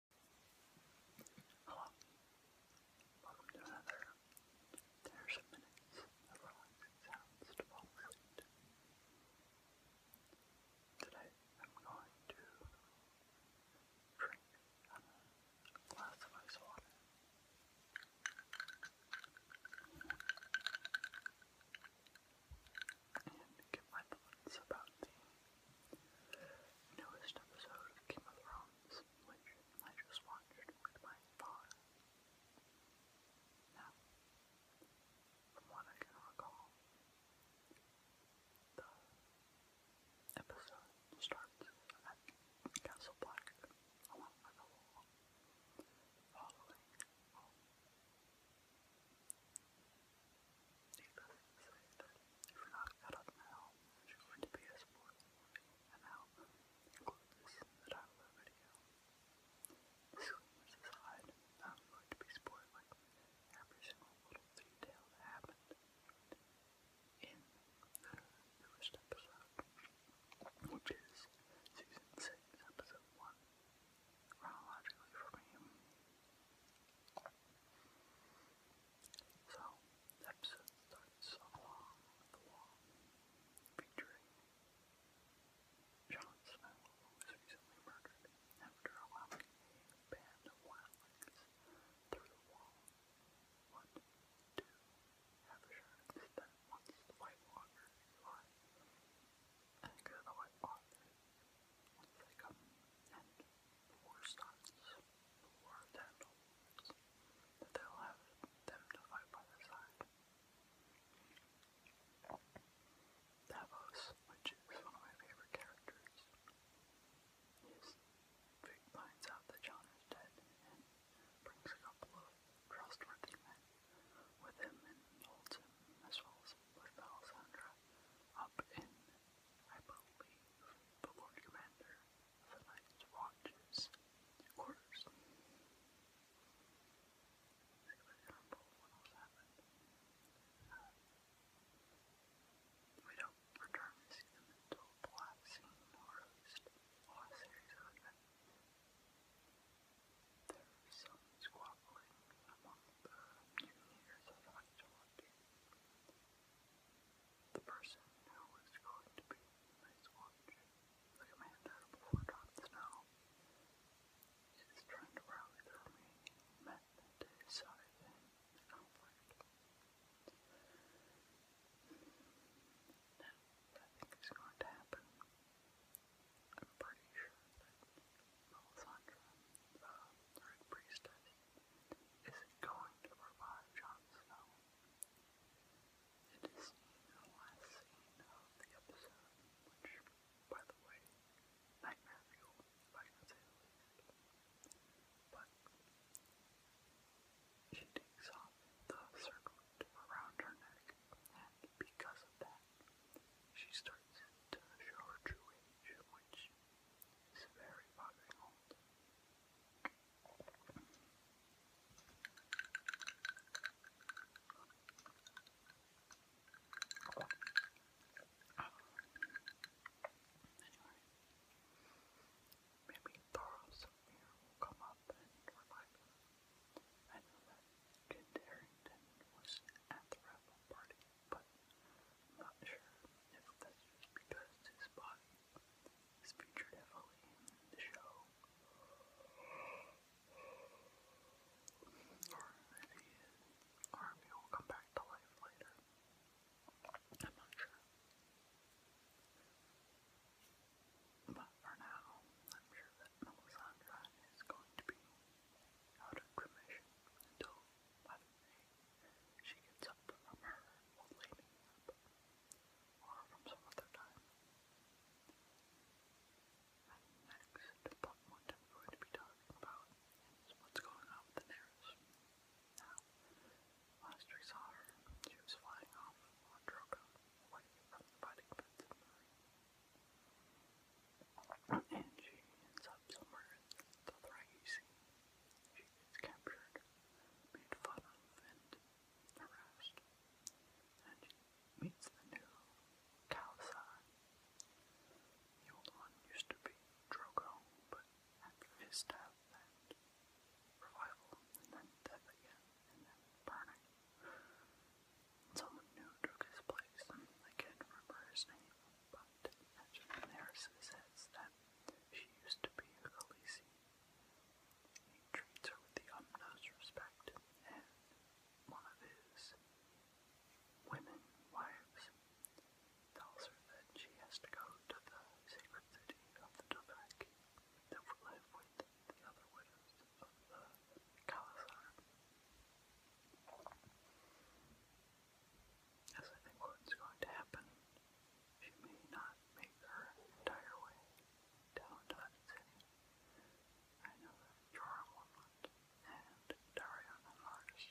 Hello, oh, welcome to another There's Minutes of Relaxing Sounds to Fall Asleep. Today I'm going to drink a glass of ice water. And get my thoughts about the newest episode of Game of Thrones, which I just watched with my father. Now, from what I can recall, the episode starts at Castle Black along with Deepak said that if not got up now, she went to PS4 and this in the title of the video. Disclaimers every single little detail that happened in the newest episode, which is season 6, episode 1 chronologically from him. So, the episode starts along the wall, featuring John Snow, who was recently murdered after allowing a band of wildlings through the wall. What do have assurance that once the White Walker is alive, and go the White Walker they come and the war starts. The war handles. That they'll have them to fight by their side. Davos, which is one of my favorite characters, is finds out that John is dead and brings a couple of trustworthy men with him and holds him as well as with up in, I believe, the Lord Commander of the Night's Watch's quarters. I remember what else happened. Uh, we don't return to see them until the last series of events. There is some squabbling among the mutineers at Octolocate. The person who was going to be my squatch, the commander before John Snow, is trying to rally the remaining men to his side in is going to happen. I'm pretty sure Melisandre, uh, the Red Priestess, is going to revive Jon Snow. It is the last scene of the episode, which, by the way, I can say the But she takes off the circle around her neck, and because of that, she starts to show her true age, which is very fucking Anyway, maybe Thoros here will come up and revive I know was at the raffle party, but not sure if that's just because his body is featured heavily in the show, or if he will come back to life later. I'm not sure enough for now. I'm sure that Melisandre is going to be out of commission until, by the she gets up from her old lady or from some other time. And next, but what I'm going to be talking about is what's going on with the Daenerys. Now, last we saw her, she was flying off on Drogo away from the fighting pits and she ends up somewhere in the Dothraki She gets captured, made fun of, and harassed. And she meets the new Kalasai. The old one used to be Drogo, but after his death and revival, then death again, and then burning, Someone new took his place. I can't remember his name, but Edgerton Harrison says that she used to be a Khaleesi. He treats her with the utmost respect, and one of his women wives tells her that she has to go to the sacred city of the Dothraki that would live with the other widows of the Khalasar. As I think what's going to happen, she may not make her entire way down to that city. I know that Jorah and Darion and Lars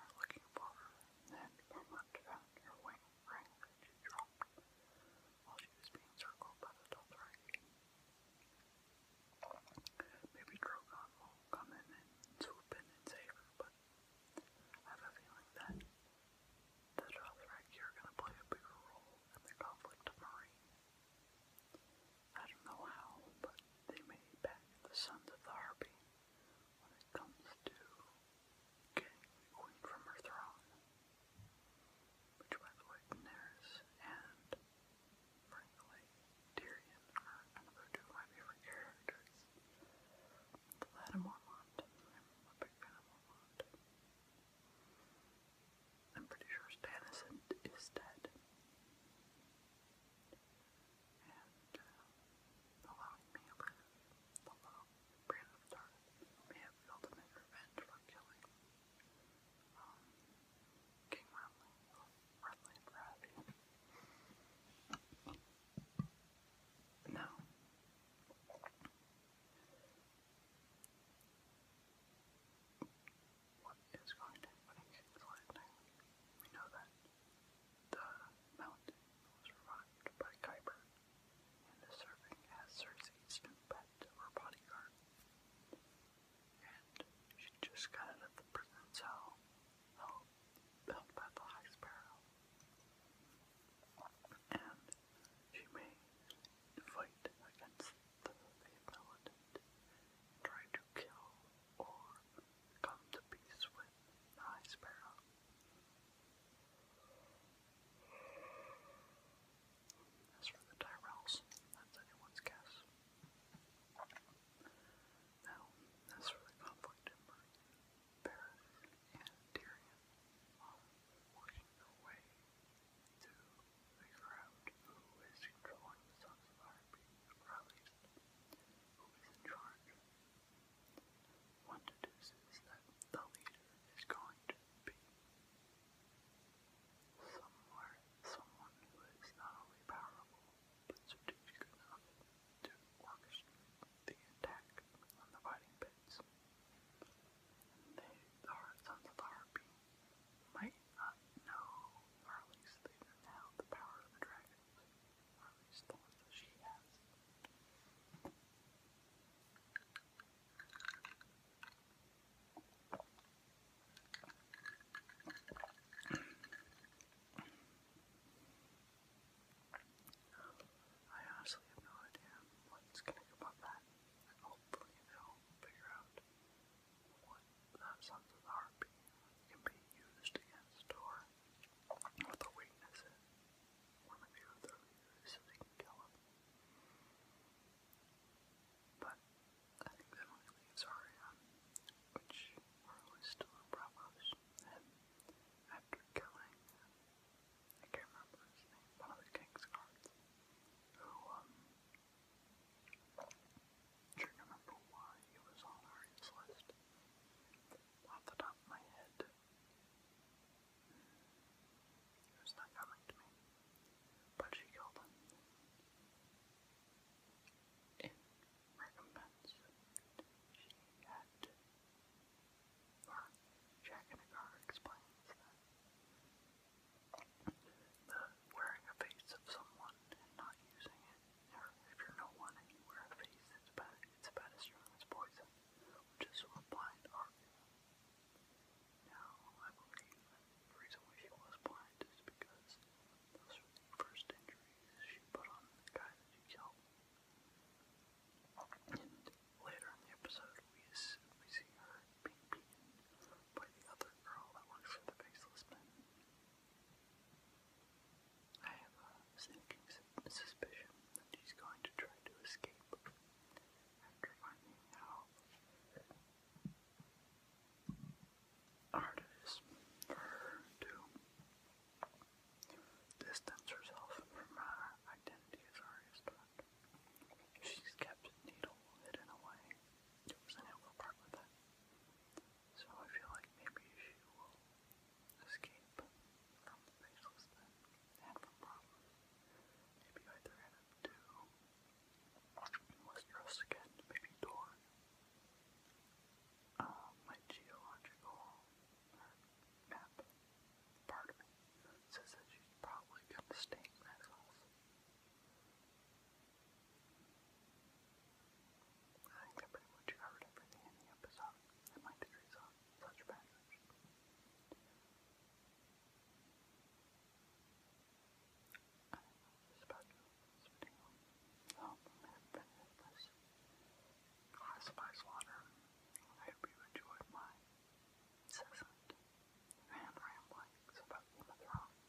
are looking for her, and Vermont found her wing ring that she dropped while she was being circled by the Dothraki. Maybe Drogon will come in and swoop in and save her, but I have a feeling that the Dothraki are going to play a bigger role in the conflict of Marine. I don't know how, but they may back the Sons of the Harpy when it comes to getting the queen from her throne which Wetwightners and, frankly, Tyrion are another two of my favorite characters. The lad I'm a big fan of Mormont. I'm pretty sure Stannis is dead. And uh, allowing the love Brand of may have ultimate revenge for killing King Renly, Renly Baratheon. what is going to happen in We know that the mountain was revived by Kuiper and serving as Cersei's pet or bodyguard. And she just got out of the prison cell held, by the High Sparrow. And she may fight against the, the try to kill or come to peace with the High Sparrow. As for the Tyrells, that's anyone's guess. Now, as for the conflict in Berlin, and Tyrion are working way to figure out who is controlling the Sons of Arby, or at least who is in charge. One deduces that the leader is going to be somewhere someone who is not only powerful but strategic enough to orchestrate the attack on the fighting pits. the sons of harpy, might not know, or at least they don't have the power of the dragons, or at least she has. I honestly have no idea what's gonna come of that. hopefully they'll figure out what the Sons of can be used against or what the weakness one of your other leaders so they him. But I think that only leaves Arian, which Marlowe still in Bravos, and after killing, I can't remember his name, one of the King's guards, who, um, I can remember why he was on Arian's list. Off the top of my head, he not coming to me, but she killed him. In recompense, she had to. Jack in the Car the wearing a face of someone and not using it, or if you're no one and you wear a face, it's about as strong as poison which is one blind Arthur. Now, I believe the reason why she was blind is because those were the first injuries she put on the guy that she killed. And later in the episode, we, we see her being beaten by the other girl that works for the Faceless Men. I have a sinking suspicion that he's going to try to escape after finding how hard it is for herself from her identity as artist. She's kept a needle hidden away. She not able to part so I feel like maybe she will escape from the faceless and from problems. Maybe either end up to Westeros again, maybe Dorne. Um, my geological map part says that she's probably gonna stay in that house. I think that pretty much covered everything in the episode and my don't know this about you I'm going to this classified oh, slaughter. I hope you enjoyed my incessant fan ramblings about Game of Thrones.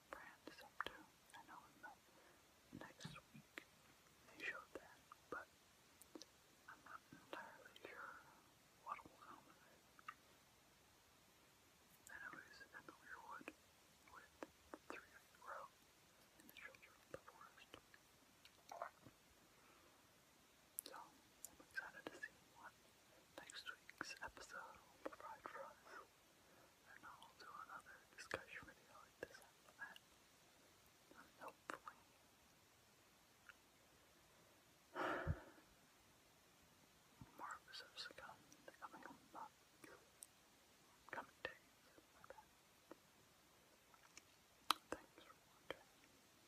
what Fran's I know in the next they showed that, but I'm not entirely sure what will come of it. Then in the Weirwood with the three in and the children of the forest. So I'm excited to see what Next week's episode will provide and I'll do another discussion video like this after And hopefully, more episodes come coming month, coming days, like that. Thanks for watching.